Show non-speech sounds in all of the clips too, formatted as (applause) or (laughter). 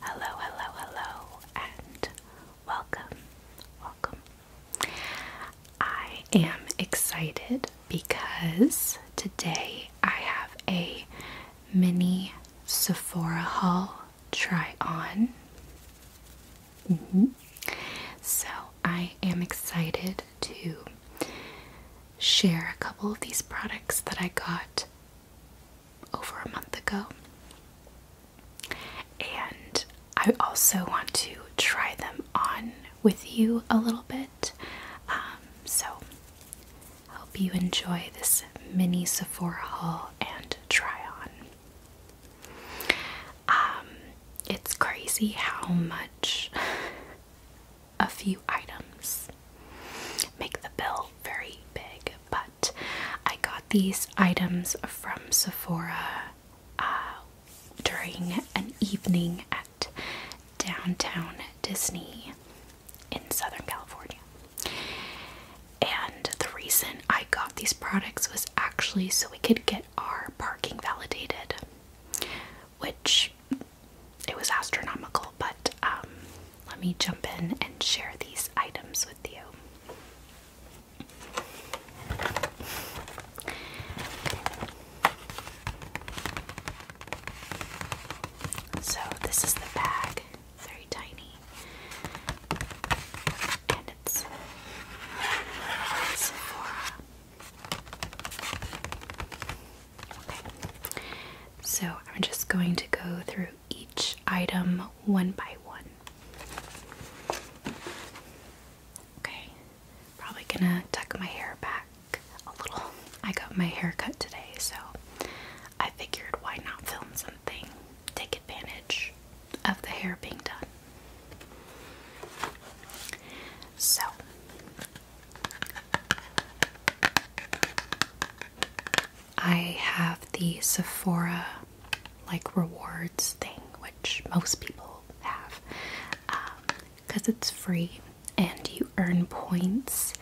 Hello, hello, hello, and welcome. Welcome. I am excited because today I have a mini Sephora haul try on. Mm-hmm. So I am excited to share a couple of these products that I got over a month ago. And I also want to try them on with you a little bit. Um, so, hope you enjoy this mini Sephora haul and try on. Um, it's crazy how much a few items. Make the bill very big, but I got these items from Sephora uh, during an evening at downtown Disney in Southern California. And the reason I got these products was actually so we could get our parking validated, which it was astronomical, but um, let me jump in and share these items with you. So, this is the bag, very tiny, and it's Sephora so I'm just going to go through each item one by one. Okay, probably gonna tuck my hair back a little. I got my hair cut today, so I figured why not film something, take advantage of the hair being done. So, I have the Sephora like rewards thing, which most people have, because um, it's free and you earn points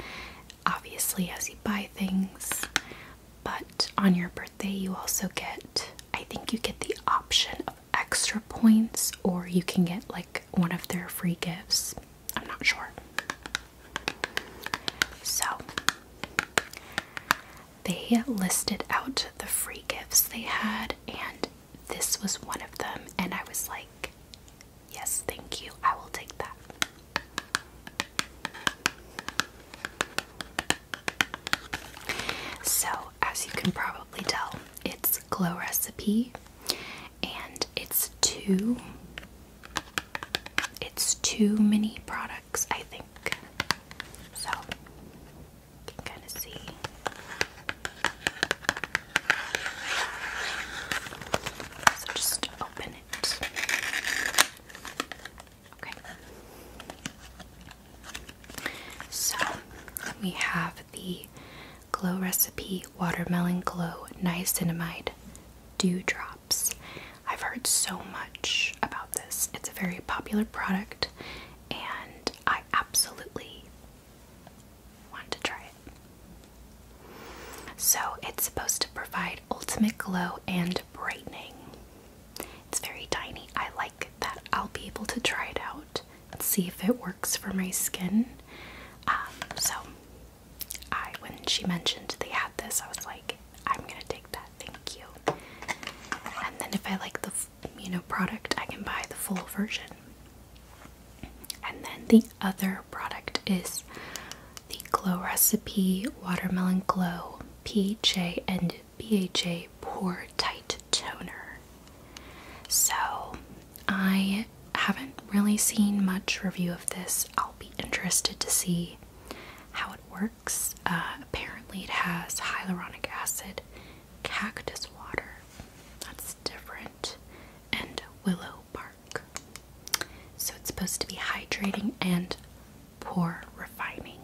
obviously as you buy things. But on your birthday, you also get, I think you get the option of extra points, or you can get like one of their free gifts. I'm not sure. So they listed out the free gifts they had, and this was one of them. And I was like, Yes, thank you, I will take that. So, as you can probably tell, it's Glow Recipe and it's two it's too many products, I think. So, kind of see. So, just open it. Okay. So, we have the Glow Recipe Watermelon Glow Niacinamide dewdrops. I've heard so much about this. It's a very popular product and I absolutely want to try it. So, it's supposed to provide ultimate glow and brightening. It's very tiny. I like that. I'll be able to try it out and see if it works for my skin. Um, so, I when she mentioned they had this, I was like, I'm gonna take that. Thank you. And then if I like the you know product, I can buy the full version. And then the other product is the Glow Recipe Watermelon Glow PHA and BHA Pore Tight Toner. So I haven't really seen much review of this. I'll be interested to see how it works. Uh, apparently, it has hyaluronic acid, cactus water, that's different, and willow bark. So, it's supposed to be hydrating and pore refining.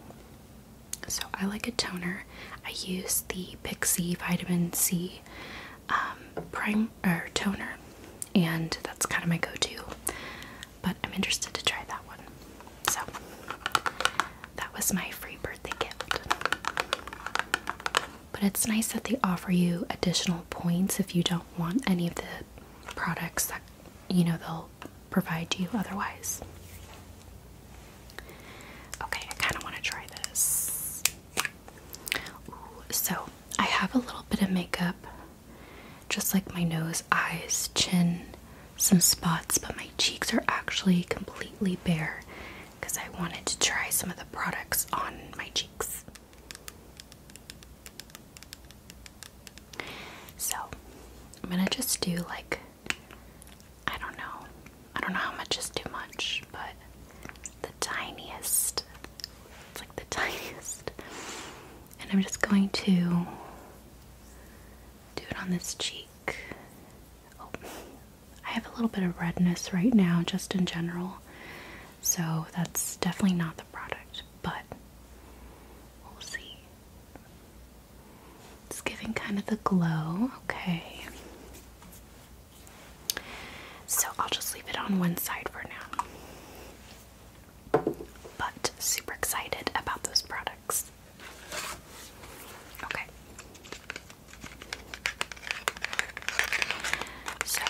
So, I like a toner. I use the Pixie Vitamin C um, Prime or toner, and that's kind of my go to. But I'm interested to try that one. So, that was my free birthday gift. But it's nice that they offer you additional points if you don't want any of the products that you know they'll provide you otherwise. Okay, I kind of want to try this. so, I have a little bit of makeup just like my nose, eyes, chin, some spots, but my cheeks are actually completely bare because I wanted to try some of the products on my cheeks. So, I'm gonna just do like, I don't know, I don't know how much is too much, but the tiniest, it's like the (laughs) tiniest. And I'm just going to do it on this cheek. Oh, I have a little bit of redness right now, just in general. So that's definitely not the product, but we'll see. It's giving kind of the glow. Okay. So I'll just leave it on one side for now. But super excited about those products. Okay. So,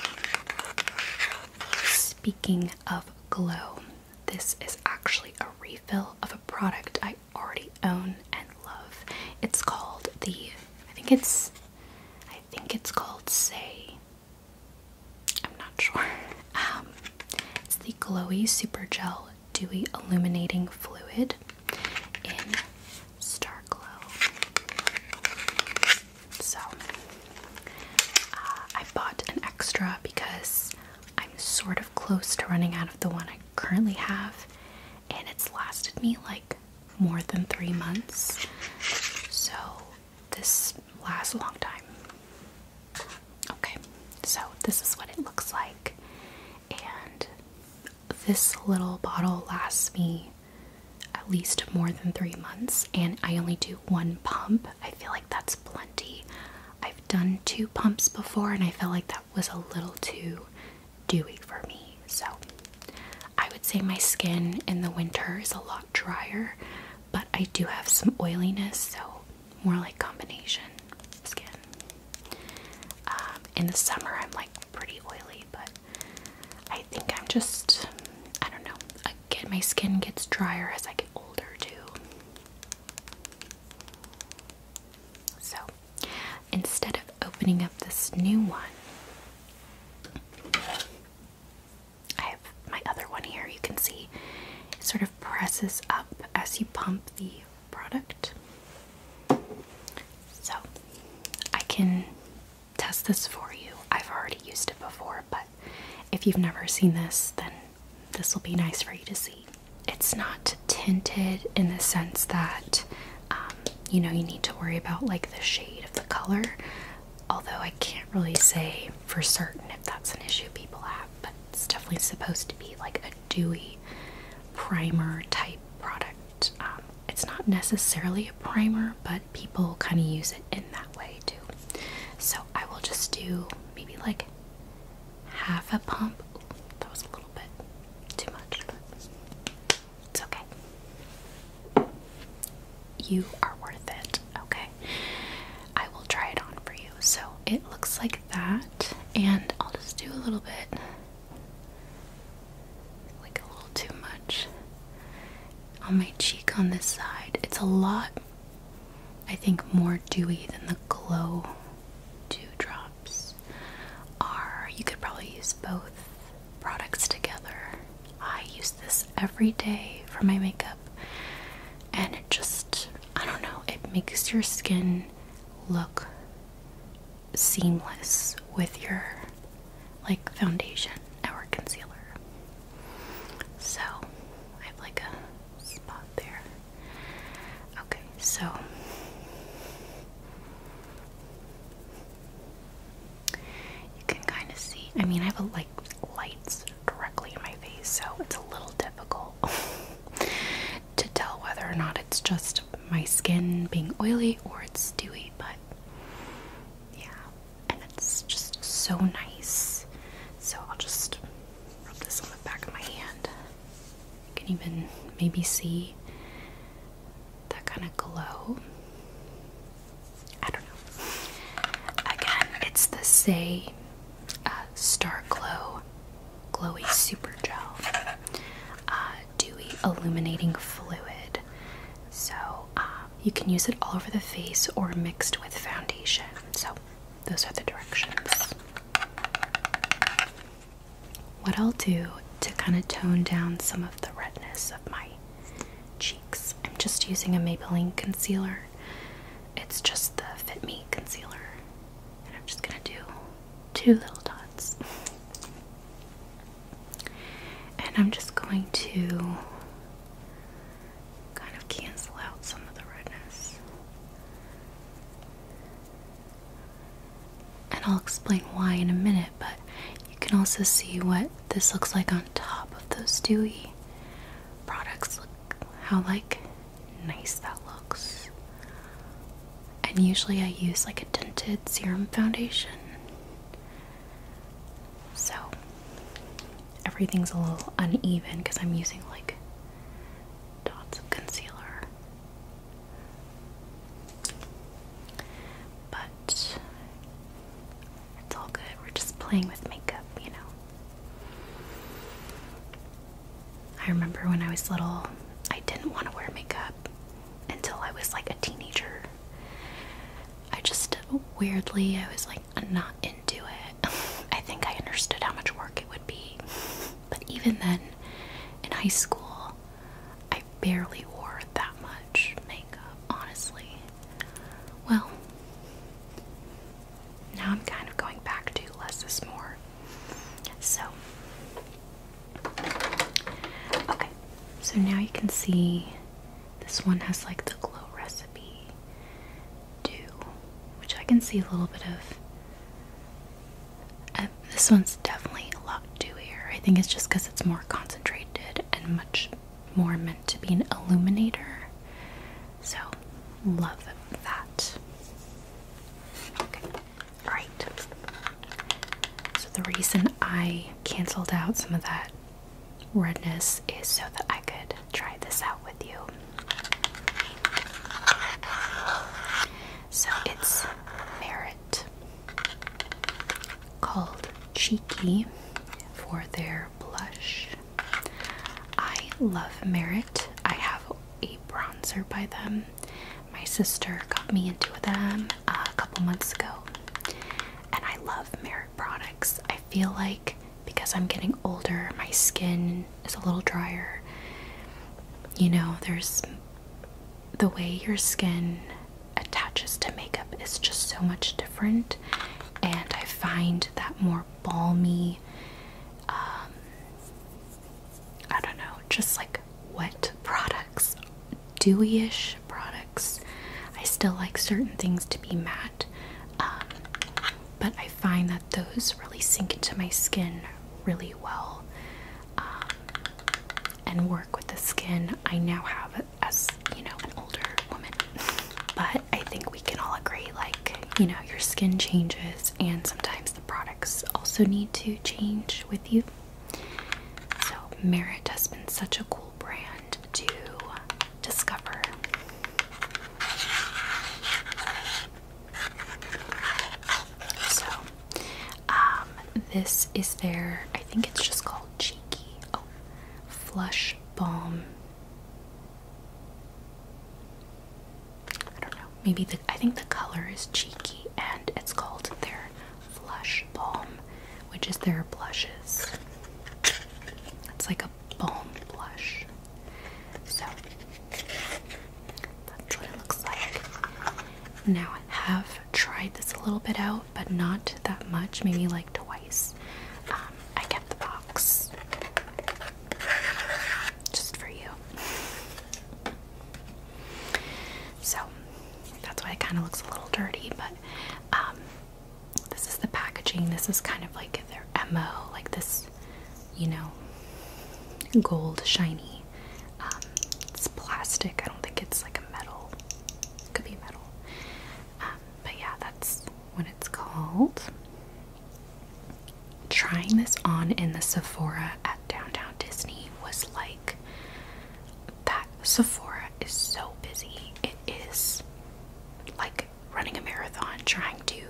speaking of Glow, this is actually a refill of a product I already own and love. It's called the I think it's I think it's called Say I'm not sure. Um, it's the Glowy Super Gel Dewy Illuminating Fluid in Star Glow. So, uh, I bought an extra because I'm sort of close to running out of the one I currently have, and it's lasted me like more than three months. So, this lasts a long time. Okay, so this is what it looks like, and this little bottle lasts me at least more than three months, and I only do one pump. I feel like that's plenty. I've done two pumps before, and I felt like that was a little too dewy for me. So I would say my skin in the winter is a lot drier, but I do have some oiliness, so more like combination skin. Um, in the summer, I'm like pretty oily, but I think I'm just, I don't know, Again, my skin gets drier as I get older too. So instead of opening up this new one, I have my other one here. You can see it sort of presses up as you pump the product. So I can test this for you. I've already used it before, but if you've never seen this, then this will be nice for you to see. It's not tinted in the sense that um, you know you need to worry about like the shade of the color, Although I can't really say for certain if that's an issue people have, but it's definitely supposed to be like a dewy primer type product. Um, it's not necessarily a primer, but people kind of use it in that way too. So I will just do maybe like half a pump. that was a little bit too much, it's okay. You are worth it, okay? I will try it on for you. So it looks like that, and I'll just do a little bit, like a little too much, on my cheek on this side. It's a lot, I think, more dewy than the glow Dewdrops are. You could probably use both products together. I use this every day for my makeup and it just I don't know, it makes your skin look seamless with your like foundation or concealer. So I have like a spot there. Okay, so you can kind of see. I mean, I have a lights directly in my face, so it's a little difficult (laughs) to tell whether or not it's just my skin being oily or it's dewy, but yeah, and it's just so nice. So I'll just rub this on the back of my hand. You can even maybe see that kind of glow. I don't know. Again, it's the same uh, Star Glow Glowy Super Gel, uh, Dewy Illuminating Fluid. So uh, you can use it all over the face or mixed with foundation. So those are the directions. What I'll do to kind of tone down some of the redness of my cheeks, I'm just using a Maybelline concealer. It's just the Fit Me concealer. And I'm just gonna do two little dots. And I'm just going to kind of cancel out some of the redness. And I'll explain why in a minute, but you can also see what this looks like on top of those dewy products. Look how, like, nice that looks. And usually I use like a tinted serum foundation. So everything's a little uneven because I'm using like dots of concealer. But it's all good. We're just playing with makeup, you know. I remember when I was little, I didn't want to wear makeup until I was like a teenager. I just weirdly, I was like not into it. (laughs) I think I understood how much work it would be. But even then, in high school, I barely wore that much makeup, honestly. Well, now I'm kind of going back to less is more. So, okay, so now you can see this one has like the glow recipe do, which I can see a little bit of. Uh, this one's definitely a lot dewier. I think it's just because it's more concentrated and much more meant to be an illuminator so, love that. Okay. So, the reason I canceled out some of that redness is so that I could try this out with you. So, it's Merit called Cheeky for their blush. I love Merit. I have a bronzer by them. My sister got me into them uh, a couple months ago. And I love Merit products. I feel like because I'm getting older, my skin is a little drier. You know, there's the way your skin attaches to makeup is just so much different, and I find that more balmy, um, I don't know, just like wet products, dewy-ish products. I still like certain things to be matte, um, but I find that those really sink into my skin really well um, and work with the skin I now have as you know an older woman. (laughs) But I think we can all agree, like you know, your skin changes and sometimes the products also need to change with you. So, Merit has been such a cool brand to discover. So, um, this is their, I think it's just called Cheeky. Oh, Flush Balm. I don't know. Maybe the I think the color is cheeky, and it's called their Flush Balm, which is their blushes. It's like a balm blush. So that's what it looks like. Now I have tried this a little bit out, but not that much. Maybe like twice. Um, I kept the box. Just for you. So that's why it kind of looks a little dirty, but um, this is the packaging. This is kind of like their MO, like this, you know, gold shiny. Um, it's plastic. I don't think it's like a metal. could be metal. Um, but yeah, that's what it's called trying this on in the Sephora at Downtown Disney was like that Sephora is so busy. It is like running a marathon trying to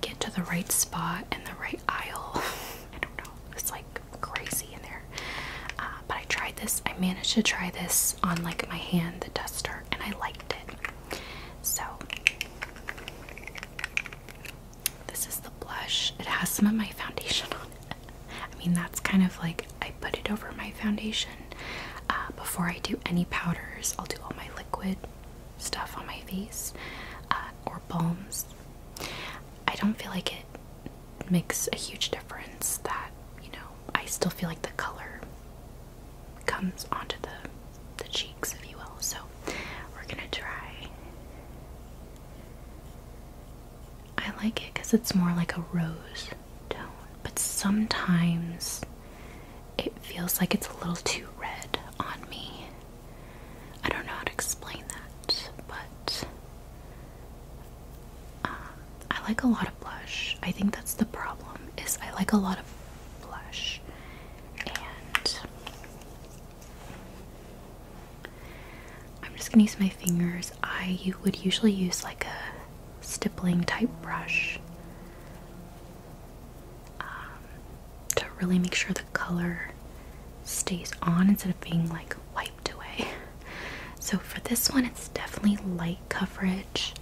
get to the right spot and the right aisle. (laughs) I don't know. It's like crazy in there. Uh, but I tried this. I managed to try this on like my hand, the dust duster, and I liked it. So this is the blush. It has some of my foundation on it. I mean, that's kind of like I put it over my foundation uh, before I do any powders. I'll do all my liquid stuff on my face uh, or balms. I don't feel like it makes a huge difference that, you know, I still feel like the color comes onto the the cheeks, if you will. So we're gonna try. I like it because it's more like a rose tone, but sometimes it feels like it's a little too red on me. I don't know how to explain that, but uh, I like a lot of blush. I think that's the problem. Is I like a lot of blush, and I'm just gonna use my fingers. I would usually use like a stippling type brush um, to really make sure the color stays on instead of being like wiped away. (laughs) So for this one, it's definitely light coverage.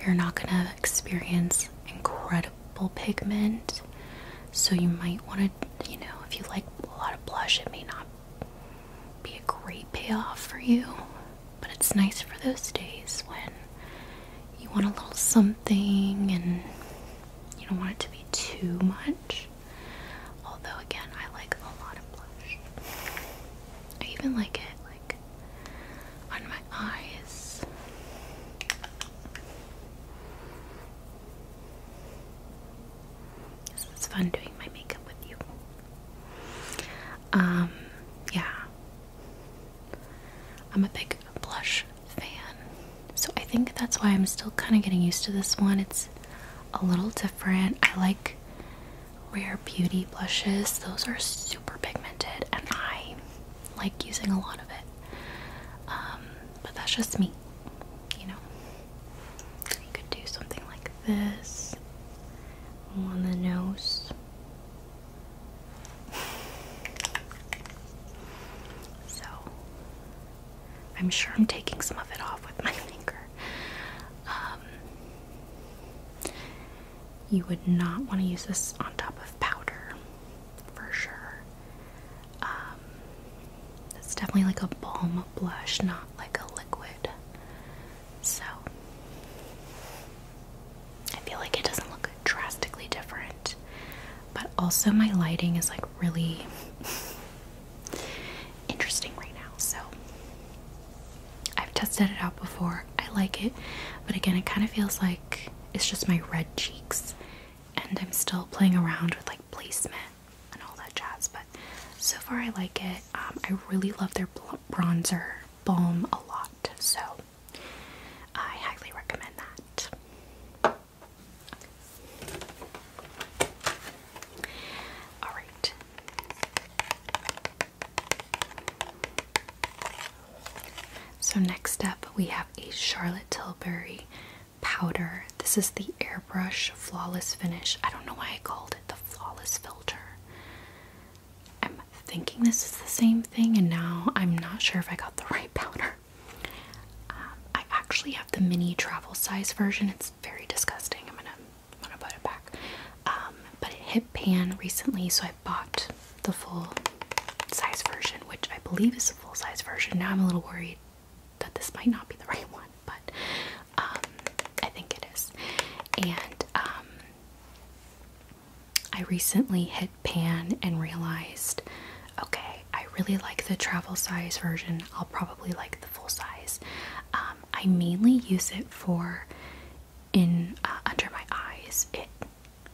You're not gonna experience incredible coatable pigment, so you might want to, you know, if you like a lot of blush, it may not be a great payoff for you, but it's nice for those days when you want a little something and you don't want it to be too much. Although, again, I like a lot of blush. I even like it like on my eyes. It's fun doing my makeup with you. Um, yeah. I'm a big blush fan. So I think that's why I'm still kind of getting used to this one. It's a little different. I like Rare Beauty blushes. Those are super pigmented and I like using a lot of it. Um, but that's just me, you know. You could do something like this on the nose. So, I'm sure I'm taking some of it off with my (laughs) finger. Um, you would not want to use this on top of powder for sure. Um, it's definitely like a balm blush, not like a liquid. So I feel like it doesn't look drastically different, but also my lighting is like really (laughs) interesting right now. So I've tested it out before. I like it, but again, it kind of feels like it's just my red cheeks and I'm still playing around with like placement and all that jazz, but so far I like it. Um, I really love their bronzer balm a lot, so I highly recommend that. All right. So next up we have a Charlotte Tilbury powder. This is the airbrush flawless finish. I don't know why I called it the flawless filter. I'm thinking this is the same thing, and now I'm not sure if I got the (laughs) right powder. Um, I actually have the mini travel size version. It's very disgusting. I'm gonna, I'm gonna put it back. Um, but it hit pan recently, so I bought the full size version, which I believe is full size version. Now I'm a little worried that this might not be the (laughs) right one, but um, I think it is. And um, I recently hit pan and realized okay, I really like the travel size version. I'll probably like the full size. Um, I mainly use it for in uh, under my eyes. It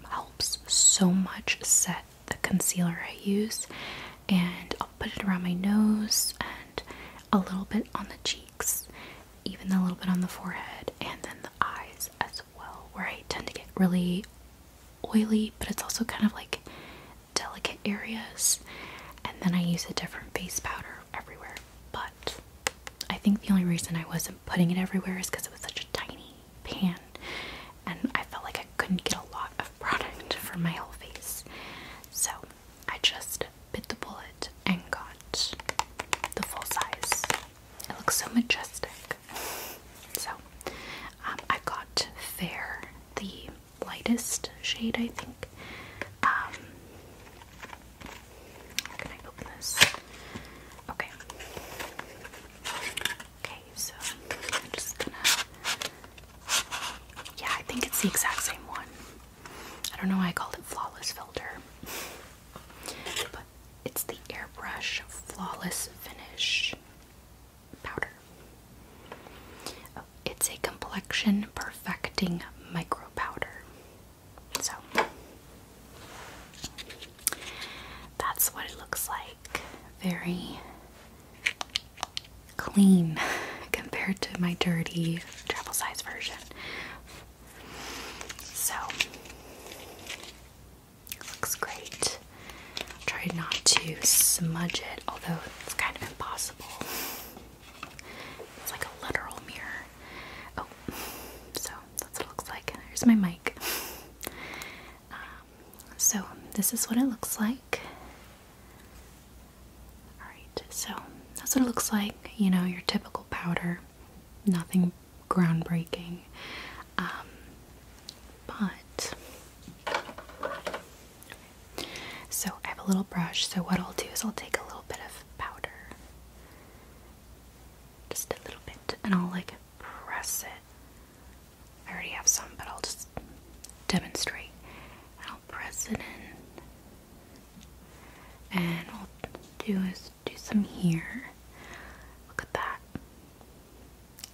helps so much set the concealer I use, and I'll put it around my nose and a little bit on the cheeks, even a little bit on the forehead, and then the eyes as well, where I tend to get really oily, but it's also kind of like delicate areas. And then I use a different face powder everywhere, but I think the only reason I wasn't putting it everywhere is because it was such a tiny pan and I felt like I couldn't get a lot of product for my whole face. So I just bit the bullet and got the full size. It looks so majestic. So um, I got Fair, the lightest shade, I think. Um, can I open this? Okay. Okay, so I'm just gonna. Yeah, I think it's the exact same one. I don't know why I called it Flawless Filter. But it's the Airbrush Flawless Finish Powder. Oh, it's a complexion perfecting micro powder. So, that's what it looks like. Very clean (laughs) compared to my dirty travel size version. So looks great. Try not to smudge it, although it's kind of impossible. It's like a literal mirror. Oh, so that's what it looks like. Here's my mic. Um, so this is what it looks like. Alright, so that's what it looks like. You know, your typical powder, nothing groundbreaking. Um, but so I have a little brush. So what I'll do is I'll take a little bit of powder, just a little bit, and I'll like press it I already have some, but I'll just demonstrate. And I'll press it in. And all I'll do is do some here. Look at that.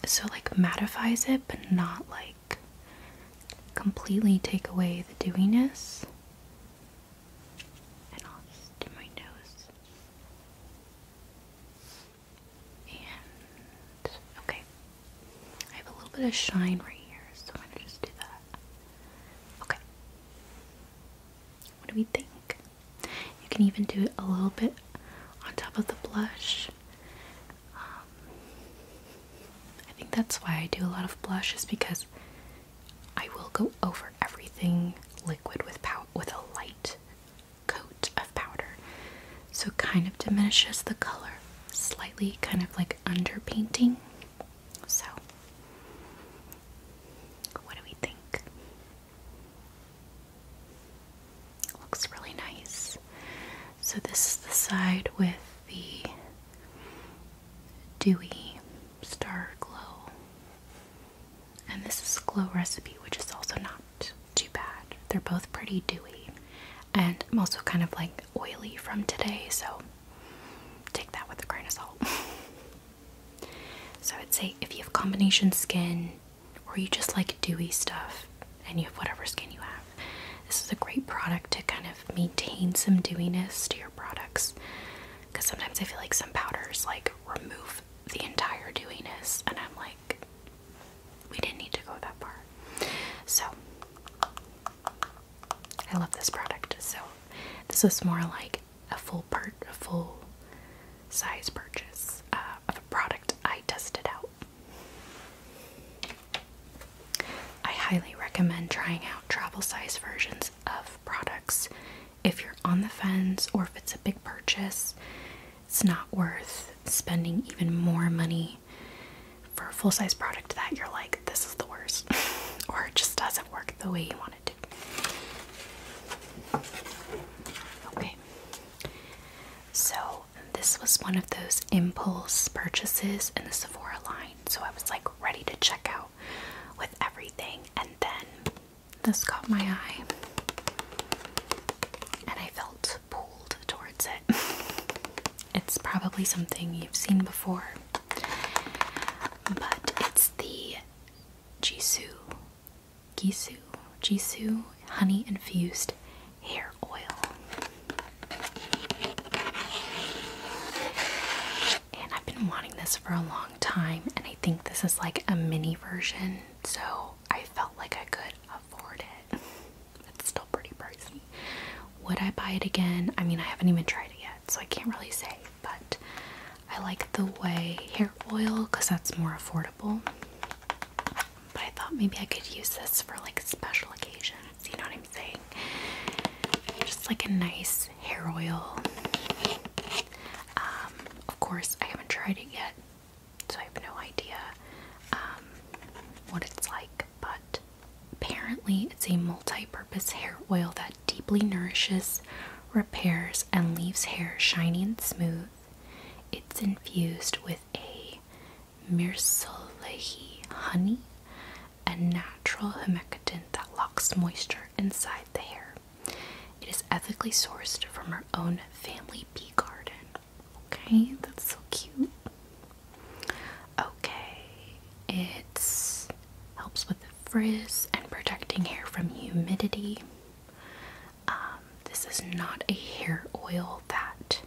So, like, mattifies it, but not like completely take away the dewiness. And I'll do my nose. And okay, I have a little bit of shine right here, so I'm gonna just do that. Okay, what do we think? You can even do it a little bit on top of the blush. Um, I think that's why I do a lot of blush, is because I will go over everything liquid with pow with a light coat of powder so it kind of diminishes the color slightly, kind of like underpainting. So, what do we think? Looks really nice. So, this is the side with the dewy star glow, and this is Glow Recipe, which is also not too bad. They're both pretty dewy. And I'm also kind of like oily from today, so take that with a grain of salt. (laughs) so I'd say if you have combination skin or you just like dewy stuff and you have whatever skin you have, this is a great product to kind of maintain some dewiness to your products. Because sometimes I feel like some powders like remove the entire dewiness, and I'm like, we didn't need to go that far. So, I love this product. So, this was more like a full part, a full size purchase uh, of a product I tested out. I highly recommend trying out travel size versions of products if you're on the fence or if it's a big purchase. It's not worth spending even more money for a full size product that you're like, this is the worst, (laughs) or it just doesn't work the way you want it to. Okay, so this was one of those impulse purchases in the Sephora line, so I was like ready to check out with everything, and then this caught my eye, and I felt pulled towards it. (laughs) It's probably something you've seen before, but it's the Jisoo, Gisu, Jisoo honey infused hair oil. And I've been wanting this for a long time, and I think this is like a mini version, so I felt like I could afford it. (laughs) it's still pretty pricey. Would I buy it again? I mean, I haven't even tried it yet, so I can't really say, but I like the way hair oil because that's more affordable. But I thought maybe I could use this for like special occasions, you know what I'm saying? Just like a nice hair oil. Um, of course, I haven't tried it yet, so I have no idea um, what it's like but apparently it's a multi-purpose hair oil that deeply nourishes, repairs, and leaves hair shiny and smooth. It's infused with a mirsalehi honey, a natural humectant that locks moisture inside the hair. It is ethically sourced from our own family bee garden. Okay, that's so cute. Okay, it helps with the frizz and protecting hair from humidity. Um, this is not a hair oil that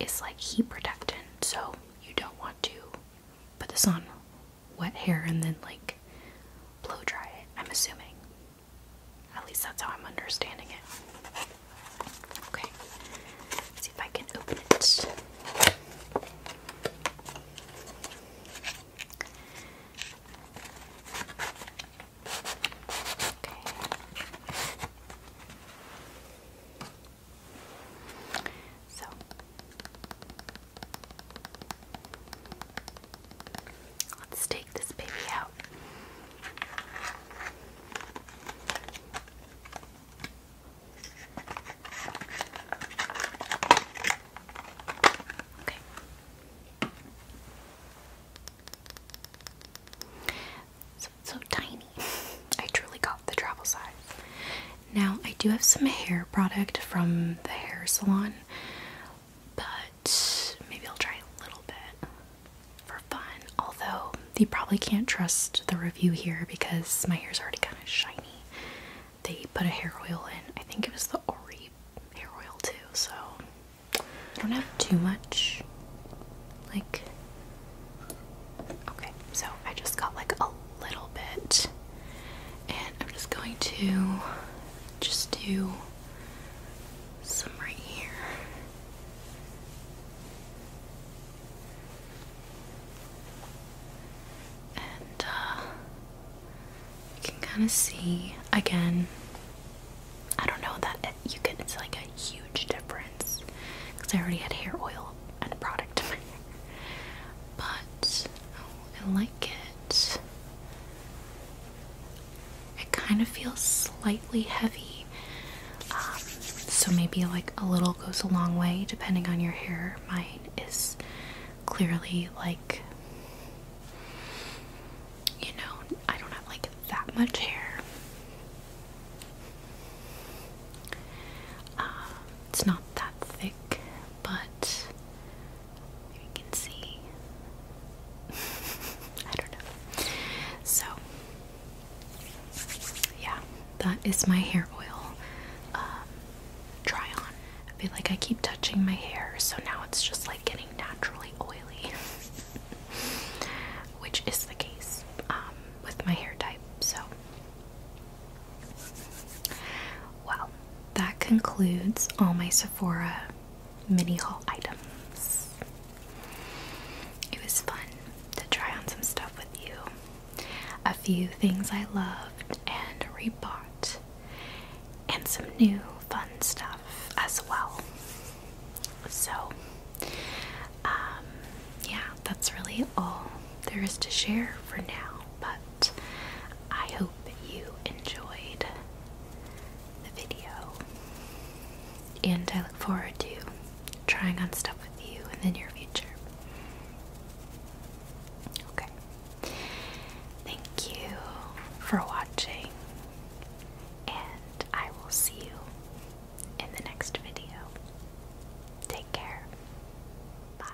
is like heat protectant, so you don't want to put this on wet hair and then like blow dry it. I'm assuming. At least that's how I'm understanding it. Okay. Let's see if I can open it. Okay. So let's take this baby out. Okay. So, tiny. (laughs) I truly got the travel size. Now, I do have some hair product from the hair salon, but maybe I'll try a little bit for fun, although you probably can't trust the review here because my hair's already kind of shiny. They put a hair oil in, I think it was the Ori hair oil too, so I don't have too much. Like, okay, so I just got like a little bit, and I'm just going to just do some right here. And uh, you can kind of see again. I don't know that it, you can. It's like a huge difference because I already had hair oil and product in my but oh, I like it. It kind of feels slightly heavy. Um, so maybe like a little goes a long way depending on your hair. Mine is clearly like, you know, I don't have like that much hair. Uh, it's not that thick, but you can see. (laughs) I don't know. So yeah, that is my hair oil try um, on. I feel like I keep touching my hair, so now it's just like getting naturally oily, (laughs) which is the case um, with my hair type. So, well, that concludes all my Sephora mini haul items. It was fun to try on some stuff with you a few things I loved and repurchased, and some new fun stuff as well. So, um, yeah, that's really all there is to share for now, but I hope you enjoyed the video. And I look forward to trying on stuff with you in the near future. Okay. Thank you for watching, and I will see you in the next video. Take care. Bye.